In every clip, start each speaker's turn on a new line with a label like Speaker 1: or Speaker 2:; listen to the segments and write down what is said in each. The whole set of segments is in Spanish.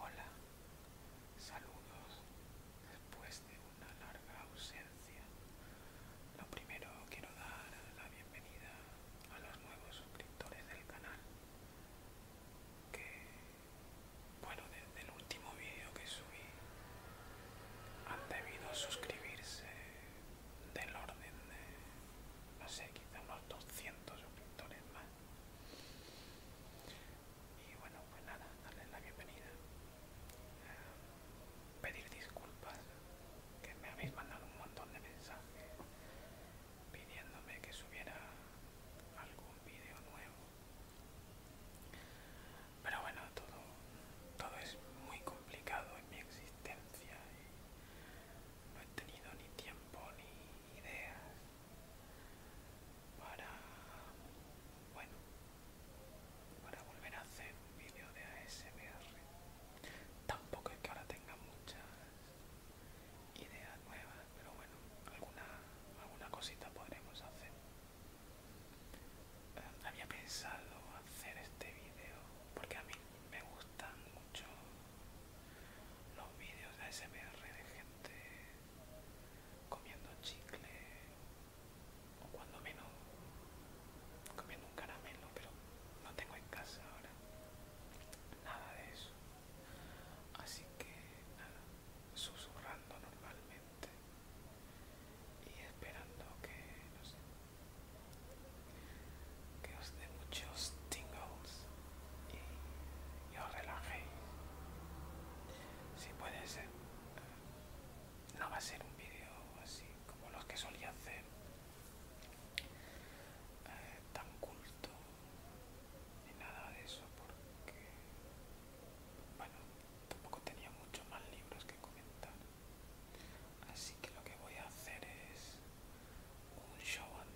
Speaker 1: Hola, saludos después de una larga ausencia. Lo primero quiero dar la bienvenida a los nuevos suscriptores del canal. Que, bueno, desde el último vídeo que subí han debido suscribirse del orden de, no sé, quizá unos 200 suscriptores más. Y bueno, pues nada, darles la bienvenida. Eh, pedir disculpas, que me habéis mandado un montón de mensajes pidiéndome que subiera algún vídeo nuevo. Pero bueno, todo, todo es muy complicado en mi existencia. Y no he tenido ni tiempo ni ideas para bueno para volver a hacer un vídeo de ASMR tampoco es que ahora tenga muchas ideas nuevas pero bueno alguna alguna cosita podremos hacer eh, había pensado hacer este vídeo porque a mí me gustan mucho los vídeos de ASMR de gente comiendo chicle o cuando menos comiendo un caramelo, pero no tengo en casa ahora nada de eso. Así que nada, susurrando normalmente y esperando que, no sé, que os dé muchos tingles y, os relajéis. Si puede ser, no va a ser un vídeo así como los que solía hacer, eh, tan culto ni nada de eso, porque, bueno, tampoco tenía muchos más libros que comentar. Así que lo que voy a hacer es un show and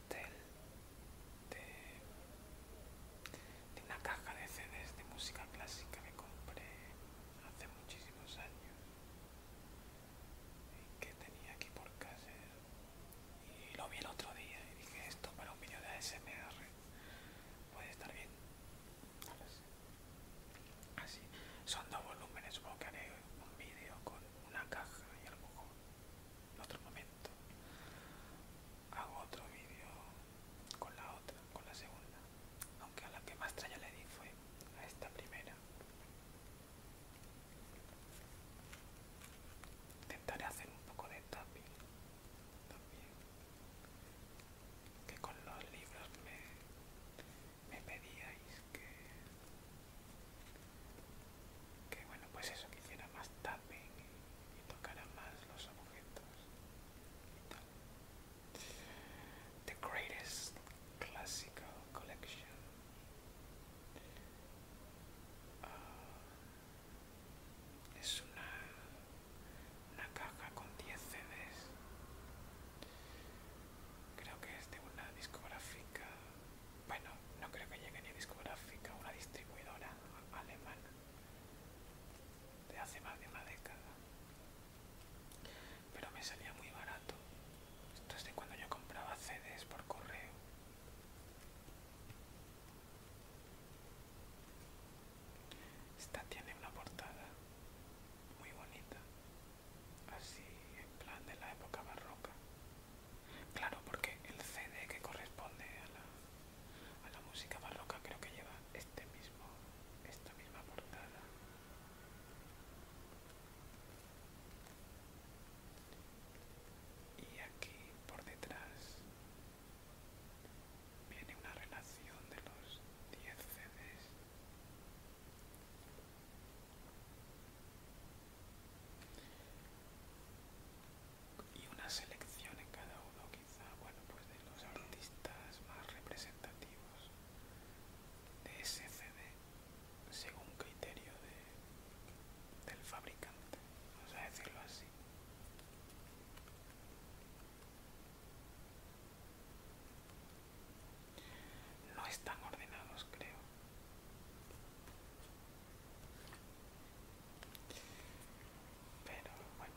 Speaker 1: de, una caja de CDs de música clásica que compré hace muchísimos años que tenía aquí por casa y lo vi el otro día y dije esto para un vídeo de ASMR puede estar bien así son dos volúmenes supongo que haré un vídeo con una caja y a lo mejor en otro momento hago otro vídeo con la otra, con la segunda, aunque a la que más traña le di fue a esta primera. Intentaré hacer un poco de tapping también, que con los libros me, me pedíais que que bueno pues eso que hiciera más tapping y, tocara más los objetos y tal. The Greatest Classical Collection ah, es una una caja con 10 CDs creo que es de una discográfica bueno, no creo que llegue ni discográfica, una distribuidora alemana de hace más de una década. Pero me salía muy barato. Esto es de cuando yo compraba CDs por correo. Esta tiene una portada muy bonita, así en plan de la época barroca. Claro, porque el CD que corresponde a la, música barroca creo que lleva este mismo, esta misma portada. Y aquí por detrás viene una relación de los 10 CDs y una selección en cada uno quizá bueno pues de los artistas más representativos de ese CD según criterio de, del fabricante vamos a decirlo así no están ordenados creo pero bueno,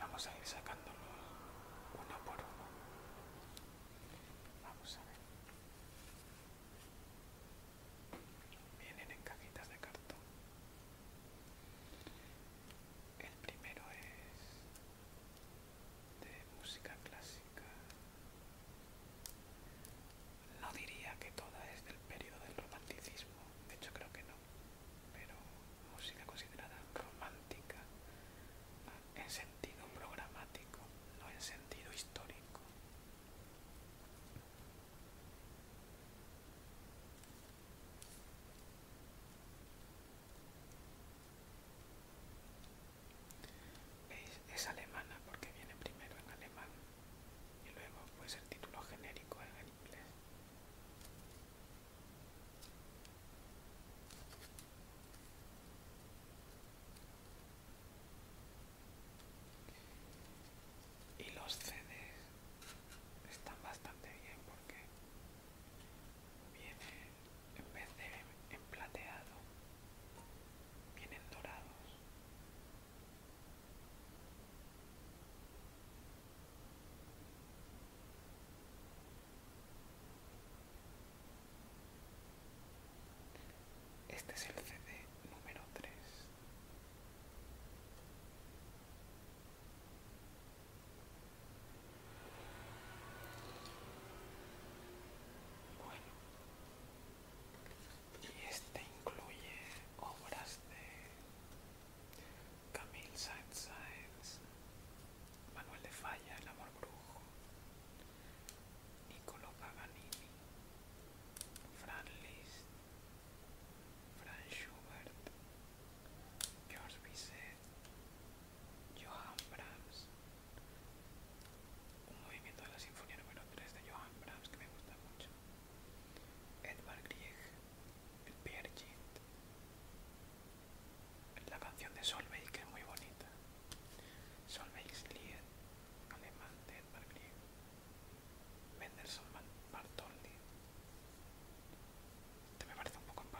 Speaker 1: vamos a ir sacándolos uno por uno. Vamos a ver. Vienen en cajitas de cartón. El primero es de música clásica no diría que toda es del periodo del romanticismo, de hecho creo que no, pero música considerada romántica ah, en sentido programático, no en sentido histórico. Es alemana porque viene primero en alemán y luego pues el título genérico en inglés y los CDs están bastante bien porque vienen, en vez de en plateado vienen dorados este es el CD número 3 y este incluye obras de Camille Saint-Saëns, Manuel de Falla, El amor brujo, Niccolo Paganini, Franz Liszt, Franz Schubert, George Bizet, Johann Brahms, un movimiento de la Sinfonía número 3 de Johann Brahms que me gusta mucho, Edvard Grieg, el Pierre la canción de Solveig que es muy bonita, Solveig's Lied, alemán de Edvard Grieg, Mendelssohn Bartholdy, te este me parece un poco en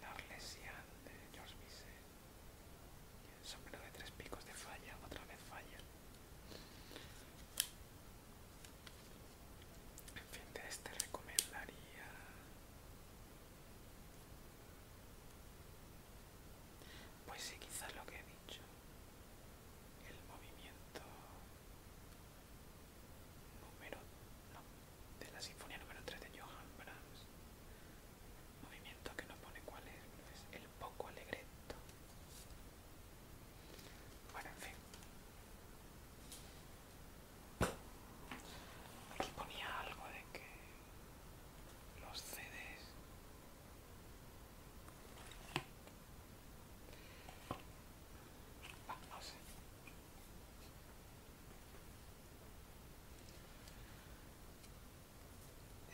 Speaker 1: La Arlesian de George Bizet, Sombrero de tres picos de falla, otra vez falla. En fin, de este recomendaría... Pues sí, quizás lo que he dicho. El movimiento número... de la sinfonía número 3 de Johann Brahms movimiento que no pone cuál es, pues, el poco alegreto. Bueno, en fin. Aquí ponía algo de que los CDs ah,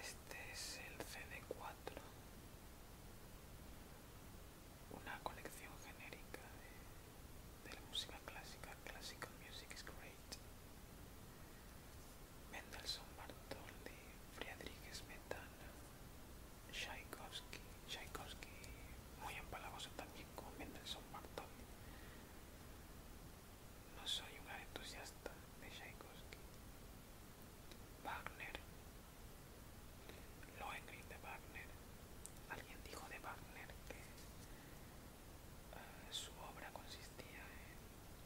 Speaker 1: este es el CD4, una colección genérica de, la música clásica, Classical Music is Great. Mendelssohn, Bartoli, Friedrich Smetana, Tchaikovsky, Tchaikovsky muy empalagoso también con Mendelssohn, Bartoli. No soy un entusiasta de Tchaikovsky. Wagner. Lohengrin de Wagner. Alguien dijo de Wagner que eh, su obra consistía en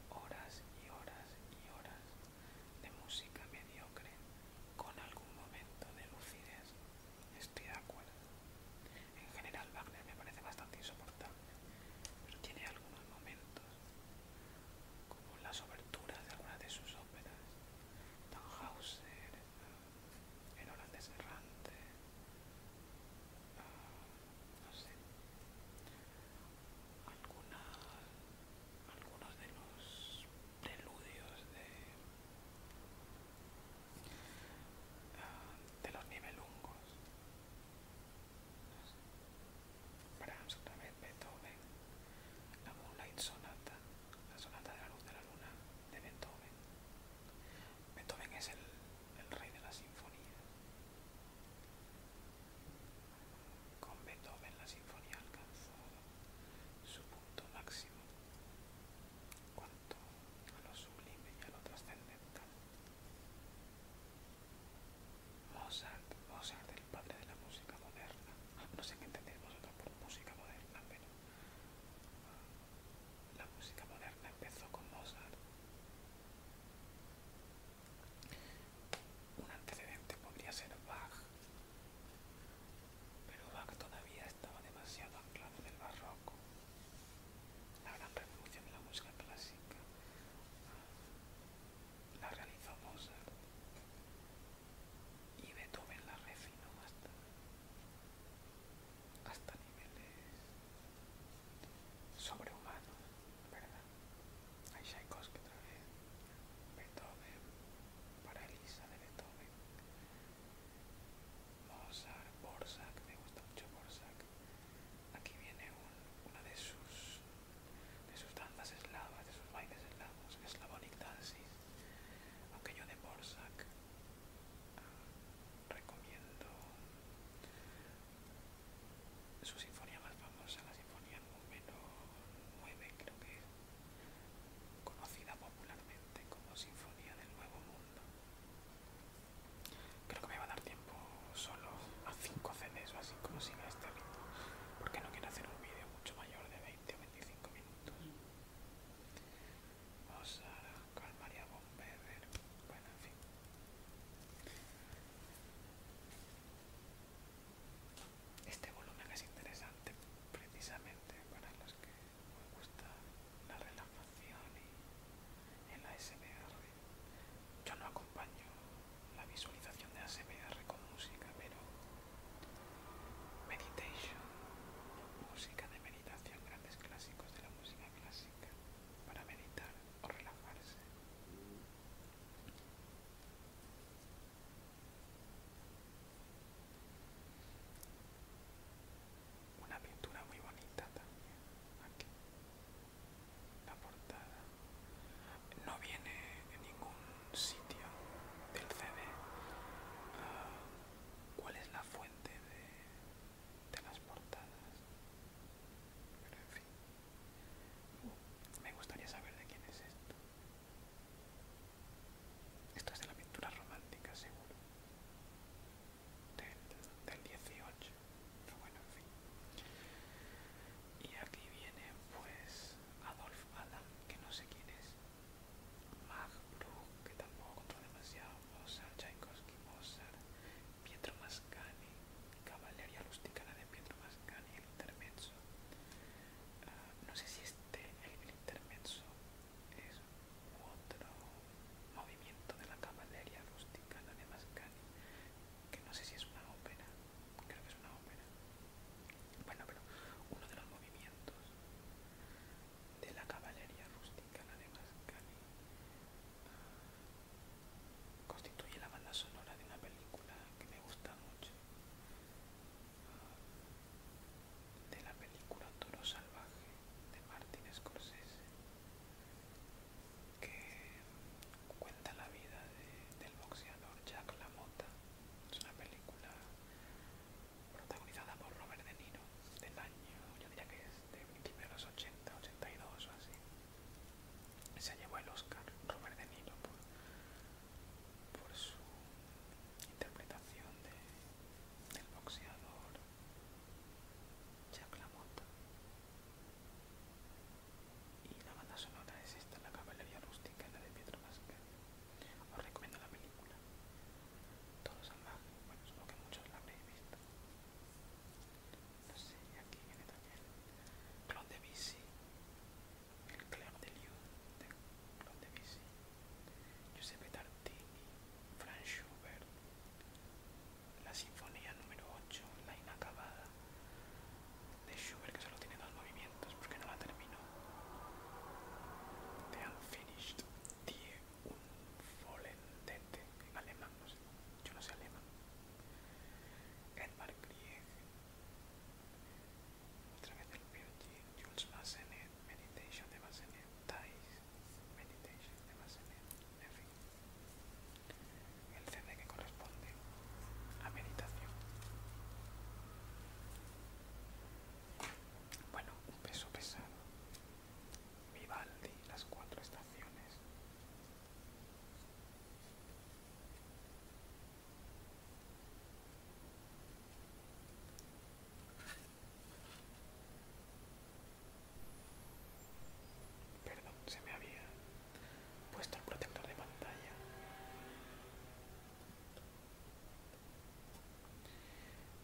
Speaker 1: horas y horas y horas de música mediocre con algún momento de lucidez. Estoy de acuerdo. En general Wagner me parece bastante insoportable, pero tiene algunos momentos como las oberturas de algunas de sus óperas, Don Hauser... El eh, holandés errante, ah, algunos de los preludios de, ah, de los nivelungos. Brahms otra vez, Beethoven, la Moonlight Sonata, la Sonata de la Luz de la Luna de Beethoven. Beethoven es el, rey de la sinfonía. Con Beethoven la sinfonía alcanzó su punto máximo cuanto a lo sublime y a lo trascendental. Mozart, Mozart, el padre de la música moderna. No sé qué entendéis vosotros por música moderna, pero ah, la música moderna empezó con Mozart. Un antecedente podría ser Bach, pero Bach todavía estaba demasiado anclado en el barroco. La gran revolución de la música clásica la realizó Mozart y Beethoven la refinó hasta, hasta niveles sobrehumanos, ¿verdad? Hay que otra vez, Beethoven, para Elisa de Beethoven, Mozart, Borsak, me gusta mucho Borsak, Aquí viene una de sus, de sus danzas eslavas, de sus bailes eslavos, Slavonic Dances. Aunque yo de Borsak ah, recomiendo su sinfonía más famosa, la sinfonía número 9, creo que conocida popularmente como Sinfonía del Nuevo Mundo. Creo que me va a dar tiempo solo a 5 CDs o así como siga este ritmo, porque no quiero hacer un vídeo mucho mayor de 20 o 25 minutos. Vamos a calmaría Bueno, en fin. Este volumen es interesante precisamente para los que me gusta la relajación y el ASMR yo no acompaño la visualización de ASMR con música, pero meditation, música de meditación, grandes clásicos de la música clásica para meditar o relajarse. Una pintura muy bonita también aquí la portada no viene en ningún sitio del CD ah, cuál es la fuente de, las portadas pero en fin me gustaría saber de quién es esto esto es de la pintura romántica seguro del, del 18 bueno en fin y aquí viene pues Adolf Adam que no sé quién es Mag Bruch que tampoco controló demasiado Mozart Tchaikovsky Mozart Pietro Mascani Caballería Rusticana de Pietro Mascani el intermenso, ah, no sé si este el, intermenso, es otro movimiento de la caballería rusticana de Mascani que no sé si es una ópera, creo que es una ópera. Bueno, pero uno de los movimientos de la caballería rústica, la de Mascali, ah, constituye la banda sonora de una película que me gusta mucho, ah, de la película Toro Salvaje de Martin Scorsese que cuenta la vida del boxeador Jack LaMotta. Es una película protagonizada por Robert De Niro del año, yo diría que es de principios de los 80, 82 o así. Se llevó el Oscar Robert De Niro por, su interpretación del boxeador Jack LaMotta. Y la banda sonora es esta, la caballería rústica, la de Pietro Pascal. Os recomiendo la película. Todo salvaje, bueno, supongo que muchos la habréis visto. No sé, aquí viene también Clon de Vici. el Claire de Liu de Clon de Vici. Giuseppe Tartini, Franz Schubert, la sinfonía número 8, la inacabada, de Schubert, que solo tiene dos movimientos porque no la terminó. The Unfinished Die Unvollendete, en alemán, no sé, yo no sé alemán. Edmar Krieg, otra vez del POG, Jules Massenet, Meditation de Massenet, Thais, Meditation de Massenet, en el CD que corresponde a meditación. Bueno, un peso pesado. Vivaldi, las cuatro estaciones. Perdón, se me había puesto el protector de pantalla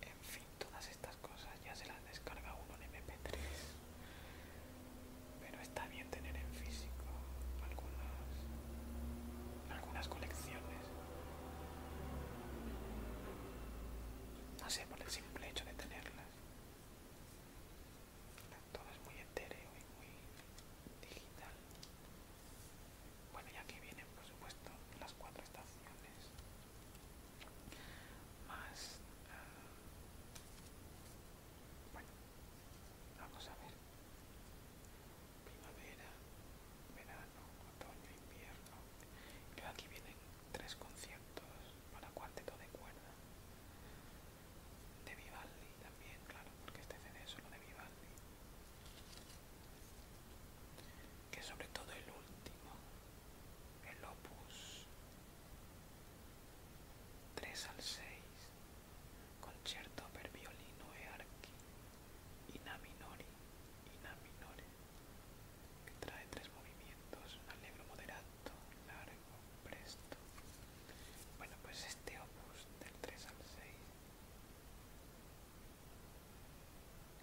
Speaker 1: en fin todas estas cosas ya se las descarga uno en mp3 pero está bien tener en físico algunas algunas colecciones no sé por el simple hecho de tenerlas todo es muy etéreo y muy digital bueno y aquí vienen por supuesto las cuatro estaciones más ah, bueno vamos a ver primavera verano otoño invierno y aquí vienen tres conciertos para cuarteto de cuerda de Vivaldi también, claro, porque este CD es solo de Vivaldi. Que sobre todo el último, el opus 3 al 6, concierto per violino e archi, Ina minori que trae tres movimientos, allegro moderato largo, presto. Bueno, pues este opus del 3 al 6,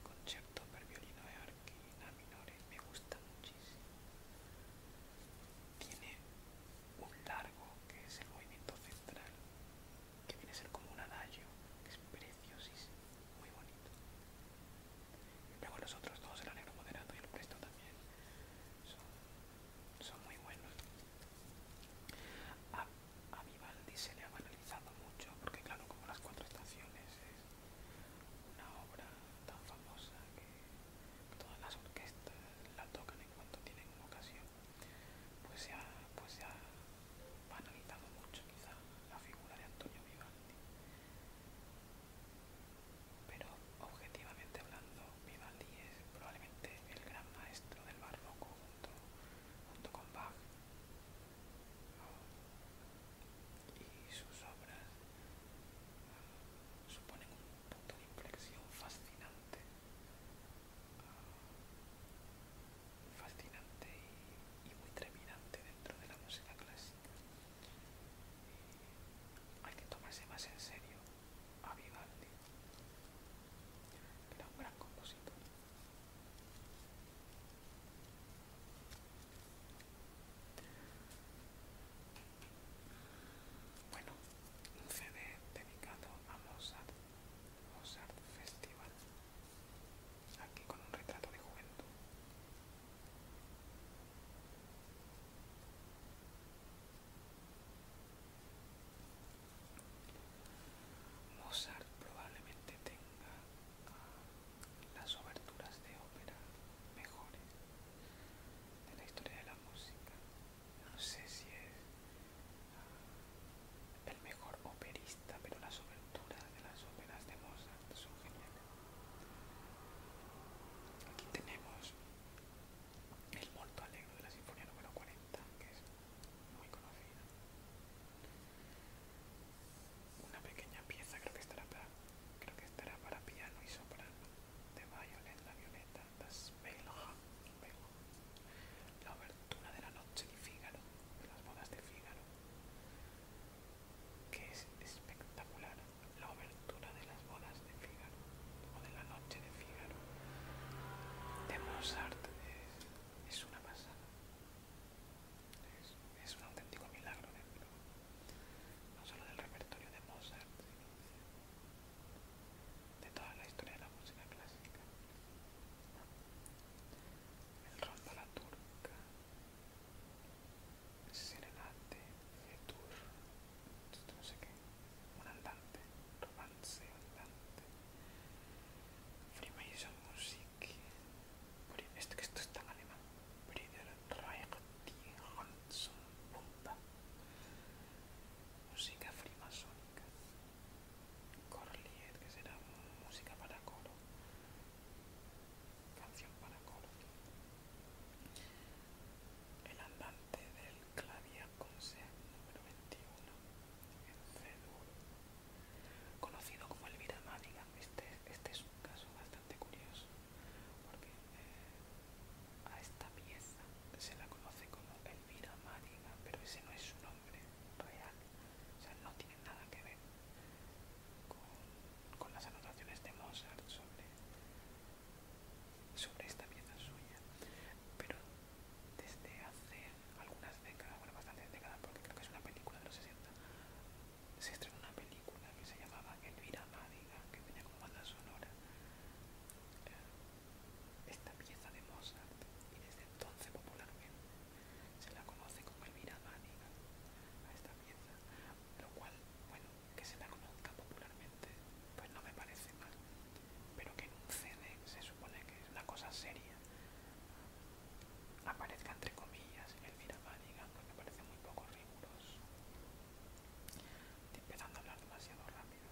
Speaker 1: concierto per violino de arquina MINORE me gusta muchísimo. Tiene un largo que es el movimiento central, que viene a ser como un adagio, que es preciosísimo, muy bonito. Luego los otros dos, el alegro moderado y el presto también, son muy buenos. A, Vivaldi se le ha banalizado mucho, porque claro, como las cuatro estaciones es una obra tan famosa que todas las orquestas la tocan en cuanto tienen una ocasión, pues pues se ha banalizado mucho quizá la figura de Antonio Vivaldi pero objetivamente hablando, Vivaldi es probablemente el gran maestro del barroco junto, con Bach. Y sus obras ah, suponen un punto de inflexión fascinante, ah, fascinante y, muy treminante dentro de la música clásica. hay que tomarse más en serio a Vivaldi. Era un gran compositor. Bueno, un CD dedicado a Mozart, Mozart Festival, aquí con un retrato de juventud. Mozart probablemente tenga ah, las oberturas de ópera mejores de la historia de la música. No sé si es ah, el mejor operista, pero las oberturas de las óperas de Mozart son geniales. Aquí tenemos el Molto Alegro de la Sinfonía número 40, que es muy conocida. Una pequeña pieza, creo que estará para, creo que estará para piano y soprano, de Violet la Violeta, Das la obertura de la noche de Fígaro, de las bodas de Fígaro, que es espectacular la obertura de las bodas de Fígaro o de la noche de Fígaro de Mozart es, una pasada. Es, un auténtico milagro no solo del repertorio de Mozart, sino de toda la historia de la música clásica. El rondo la turca, Serenate, tur esto no sé qué, un andante, romance andante, Freemason Music, esto que esto es tan alemán, Brider Reichti Hanson Punta, música freemasónica, Corliet, que será música para colo canción para coro, el andante del Clavia Conser, número 21 en c Conocido como Elvira Madigan, este, este es un caso bastante curioso porque eh, a esta pieza se la conoce como Elvira Madigan, pero ese no es su nombre real, o sea, no tiene nada que ver con las anotaciones de Mozart sobre sobre esta pieza suya, pero desde hace algunas décadas, bueno, bastantes décadas, porque creo que es una película de los 60, se estrenó una película que se llamaba Elvira Mádiga, que tenía como banda sonora eh, esta pieza de Mozart, y desde entonces popularmente se la conoce como Elvira Mádiga a esta pieza, lo cual, bueno, que se la conozca popularmente, pues no me parece mal. Pero que en un CD, se supone que es una cosa seria, aparezca entre comillas Elvira el pues me parece muy poco riguroso. Estoy empezando a hablar demasiado rápido.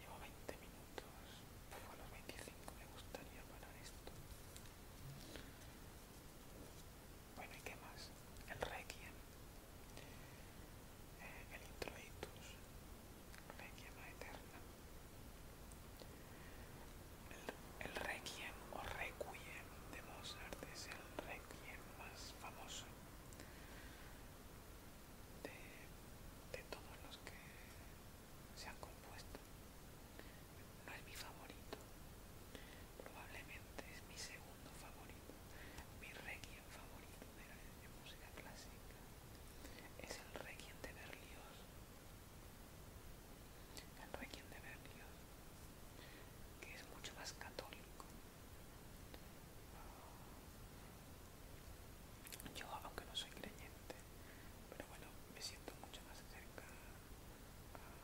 Speaker 1: Llevo 20 minutos, a los 25 me gustaría parar esto. Bueno, ¿y qué más? El Requiem el introitus, requiem eterna. El, requiem o requiem de Mozart es el requiem más famoso de, de todos los que se han compuesto. No es mi favorito, probablemente es mi segundo favorito. Mi requiem favorito de, la, música clásica es el requiem de Berlioz. El requiem de Berlioz, que es mucho más católico. Yo, aunque no soy creyente, pero bueno, me siento mucho más cerca ah,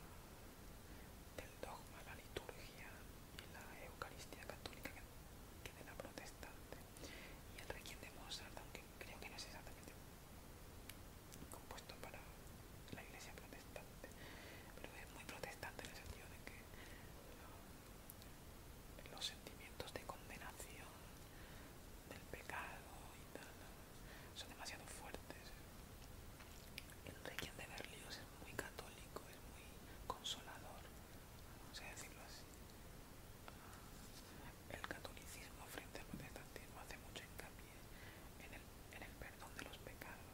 Speaker 1: del dogma, la liturgia, y la Eucaristía católica que de la protestante y el Requiem de Mozart, aunque creo que no es exactamente compuesto para la iglesia protestante, pero es muy protestante en el sentido de que um, los sentimientos de condenación del pecado y tal son demasiado fuertes. El Requiem de Berlioz es muy católico, es muy consolador, vamos a decirlo así. El catolicismo frente al protestantismo hace mucho hincapié en el, en el perdón de los pecados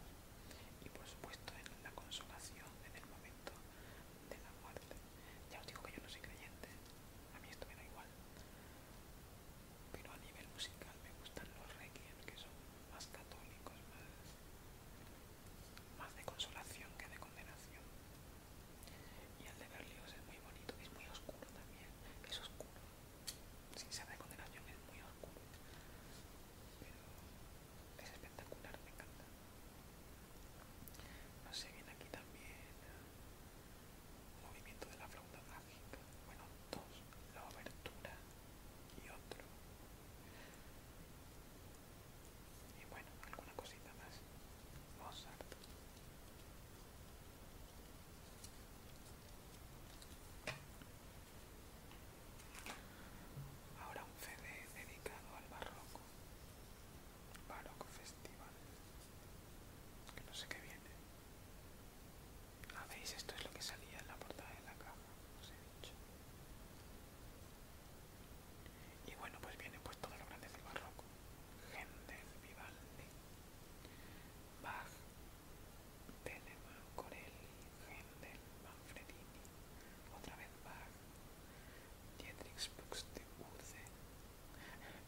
Speaker 1: y por supuesto en la consolación en el momento de la muerte. Ya os digo que yo no soy creyente, a mí esto me da igual. Pero a nivel musical me gustan los requiem, que son más católicos, más más de consolación que de condenación. Y el de Berlioz es muy bonito, es muy oscuro también, es oscuro. Sin ser de condenación es muy oscuro, pero es espectacular, me encanta. No sé, viene aquí también ah, movimiento de la flauta mágica, bueno, dos, la abertura y otro y bueno, alguna cosita más. Ahora un CD dedicado al barroco. Barroco Festival. Que no sé qué viene. Ah, veis, esto es lo que salía en la portada de la caja, os he dicho. Y bueno, pues viene pues todo lo grande del barroco. Händel, Vivaldi, Bach, Telemann, Corelli, Händel, Manfredini, otra vez Bach, Dietrich Buxtehude.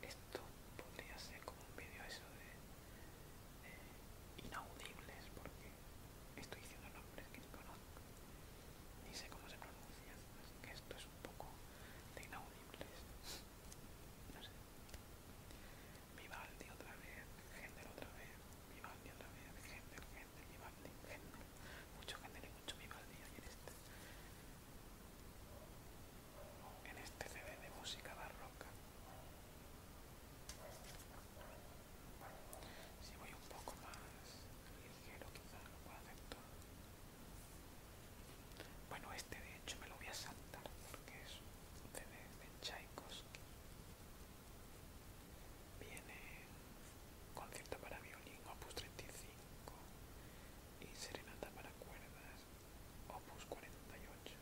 Speaker 1: Esto podría ser como un vídeo eso de inaudibles porque estoy diciendo nombres que no conozco ni sé cómo se pronuncian, así que esto es un poco de inaudibles. No sé. Vivaldi otra vez, Händel otra vez, Vivaldi otra vez, Händel, Händel, Vivaldi, Händel. Mucho Händel y mucho Vivaldi ayer este. En este CD de música barroca. Si voy un poco más ligero quizás lo pueda hacer todo. Bueno, este de hecho me lo voy a saltar porque es un CD de chaicos Viene concierto para violín, opus 35 y serenata para cuerdas, opus 48.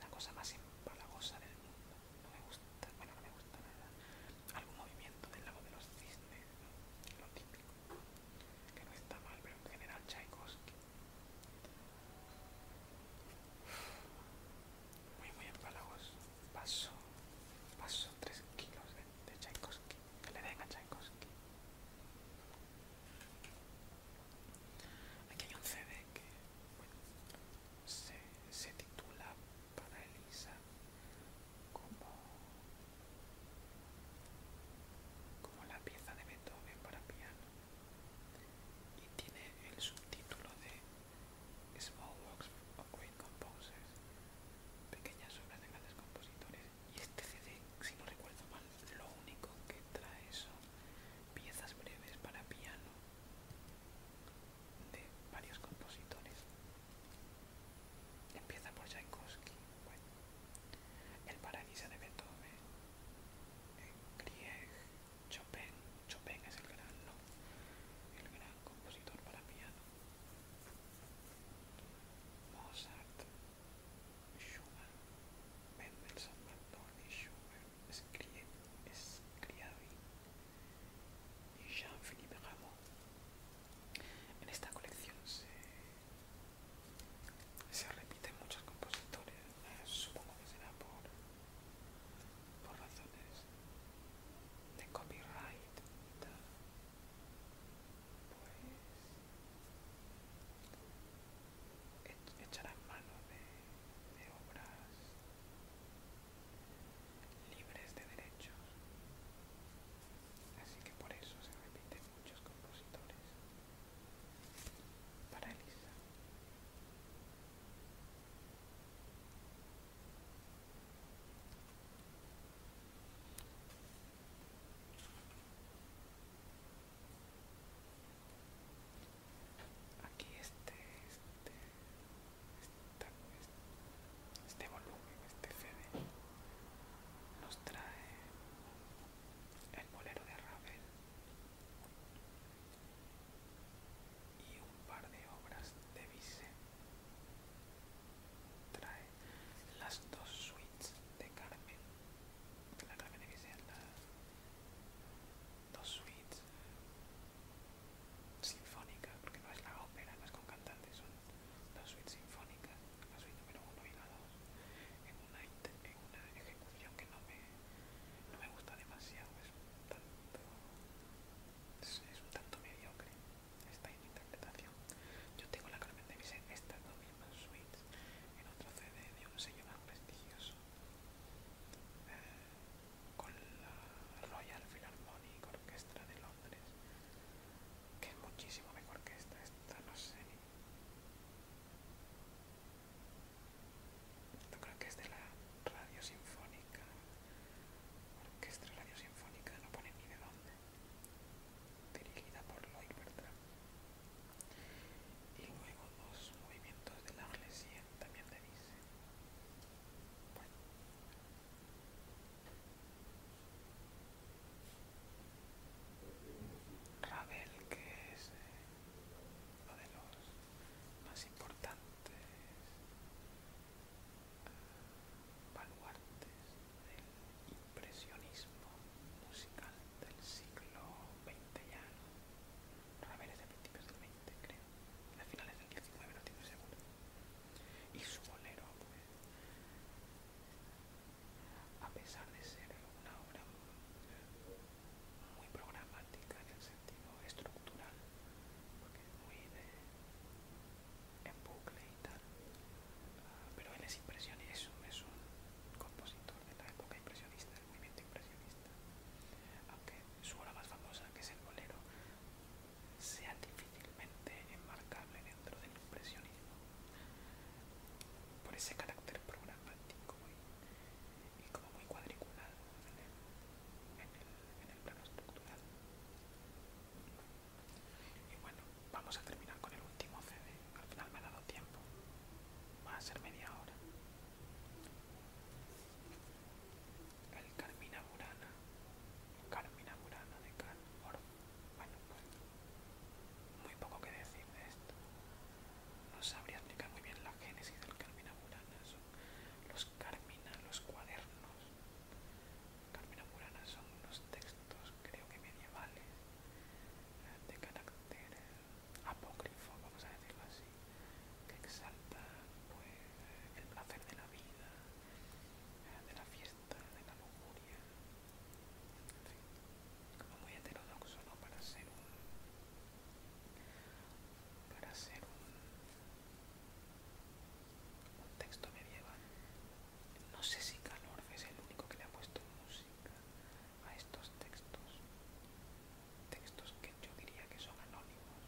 Speaker 1: La cosa más empalagosa del mundo no me gusta, bueno, no me gusta nada. Algún movimiento del lago de los cisnes, lo típico, que no está mal, pero en general Tchaikovsky. Muy, muy empalagos Paso, paso 3 kilos de, Tchaikovsky, que le den a Tchaikovsky. Aquí hay un CD que bueno, se titula Para Elisa como, la pieza de Beethoven para piano y tiene el subtítulo de Small Works of Great Composers, pequeñas obras de grandes compositores y este CD, si no recuerdo mal, lo único que trae son piezas breves para piano de varios compositores. Empieza por Tchaikovsky, bueno, El Paraíso de Beethoven, Grieg, Chopin. Chopin es el gran, ¿no? el gran compositor para piano. Mozart, Schumann, Mendelssohn, y Schubert, Scriabin, y Jean-Philippe Rameau. En esta colección se, repiten muchos compositores, eh, supongo que será por, razones de copyright y tal. Pues e-, echarán mano de obras libres de derechos, así que por eso se repiten muchos compositores. Para Elisa. Aquí este, este este volumen, este CD, nos trae el bolero de Ravel y un par de obras de Bizet. Trae las dos suites de Carmen, la Carmen de Bizet, las dos suites sinfónica, porque no es la ópera, no es con cantantes, son las suites sinfónicas, la suite número uno y la en una, en ejecución que no me, me gusta demasiado, es un tanto, es, está un mediocre esta interpretación. Yo tengo la Carmen de Bizet, estas dos mismas suites, en otro CD de un sello más prestigioso. Eh, con la Royal Philharmonic Orchestra de que es muchísimo mejor que esta, esta no sé ni... Yo creo que es de la Radio Sinfónica, Orquestra Radio Sinfónica, no pone ni de dónde, dirigida por Lloyd Bertram. Y luego dos movimientos de la Arlesien también de dice. Bueno, Ravel, que es eh, uno de los más importantes eh, baluartes del impresionismo musical del siglo XX ya, Ravel es de principios del XX, creo, de finales del XIX, no estoy seguro y su bolero pues, a pesar de ser una obra muy programática en el sentido estructural porque es muy de en bucle y tal pero él es es un compositor de la época impresionista del movimiento impresionista aunque su obra más famosa que es el bolero sea difícilmente enmarcable dentro del impresionismo por ese carácter programático y, como muy cuadriculado en el plano estructural. Y bueno, vamos a terminar con el último CD. Al final me ha dado tiempo. Va a ser media hora el Carmina Burana, Carmina Burana de Bueno, ah, muy poco que decir de esto. No sabría explicar muy bien la génesis del Carmina Burana. Son los Carmina, los cuadernos. Carmina Burana son unos textos, creo que medievales, de carácter eh, apócrifo, vamos a decirlo así, que exaltan pues, el placer de la vida, de la fiesta, de la lujuria, en como muy heterodoxo, ¿no? Para ser un. para ser un. un texto medieval. No sé si Calor es el único que le ha puesto música a estos textos. Textos que yo diría que son anónimos,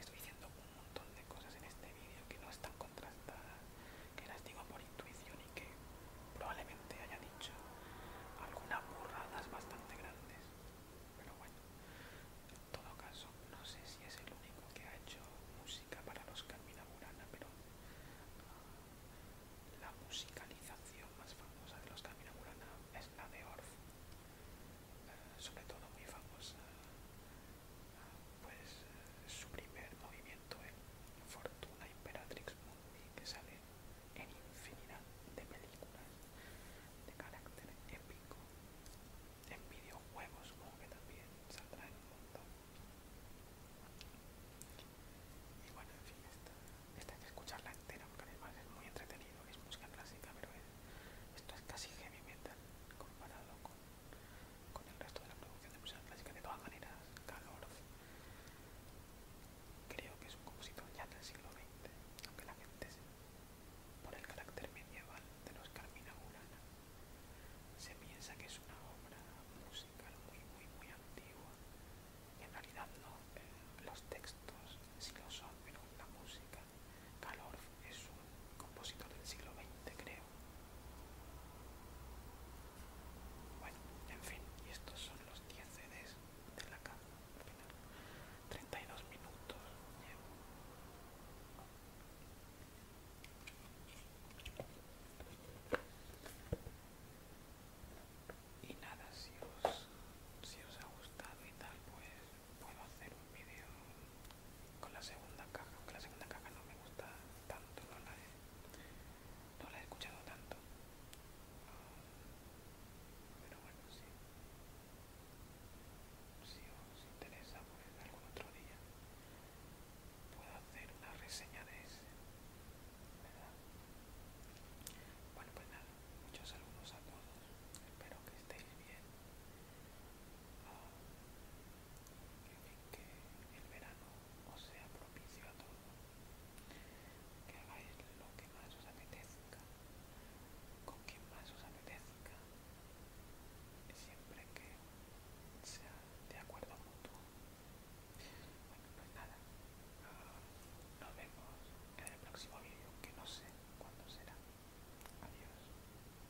Speaker 1: Estoy diciendo un montón de cosas en este vídeo que no están contrastadas, que las digo por intuición y que probablemente haya dicho algunas burradas bastante grandes. Pero bueno, en todo caso, no sé si es el único que ha hecho música para los Carmina Burana, pero ah, la musicalización más famosa de los Carmina Burana es la de Orff, eh, sobre todo muy famosa pues eh, su primer movimiento es Fortuna Imperatrix Mundi, que sale en infinidad de películas de carácter épico, en videojuegos como que también saldrá en un montón. Y bueno, en fin, esta, que escucharla entera porque además es muy entretenido, es música clásica, pero esto es casi heavy metal comparado con con el resto de la producción de música clásica. De todas maneras, Calor creo que es un compositor ya del siglo XX, aunque la gente, por el carácter medieval de los Carmina Burana, se piensa que es una obra musical muy, muy, muy antigua. Y en realidad no, eh, los textos sí lo son, pero la música Calorf es un compositor del siglo XX, creo. Bueno, en fin, y estos son los 10 CDs de la caja al final. 32 minutos llevo. Y nada, si os, si os ha gustado y tal, pues puedo hacer un vídeo con la segunda caja, aunque la segunda caja no me gusta tanto, no la he, no la escuchado tanto. Pero bueno, Si os interesa, pues algún otro día puedo hacer una reseña de ese. Bueno, pues nada, muchos saludos a todos. Espero que estéis bien que el verano os sea propicio a todo, que hagáis lo que más os apetezca, con quien más os apetezca, siempre que sea de acuerdo mutuo. Bueno, pues nada, nos vemos en el próximo vídeo, que no sé cuándo será. Adiós.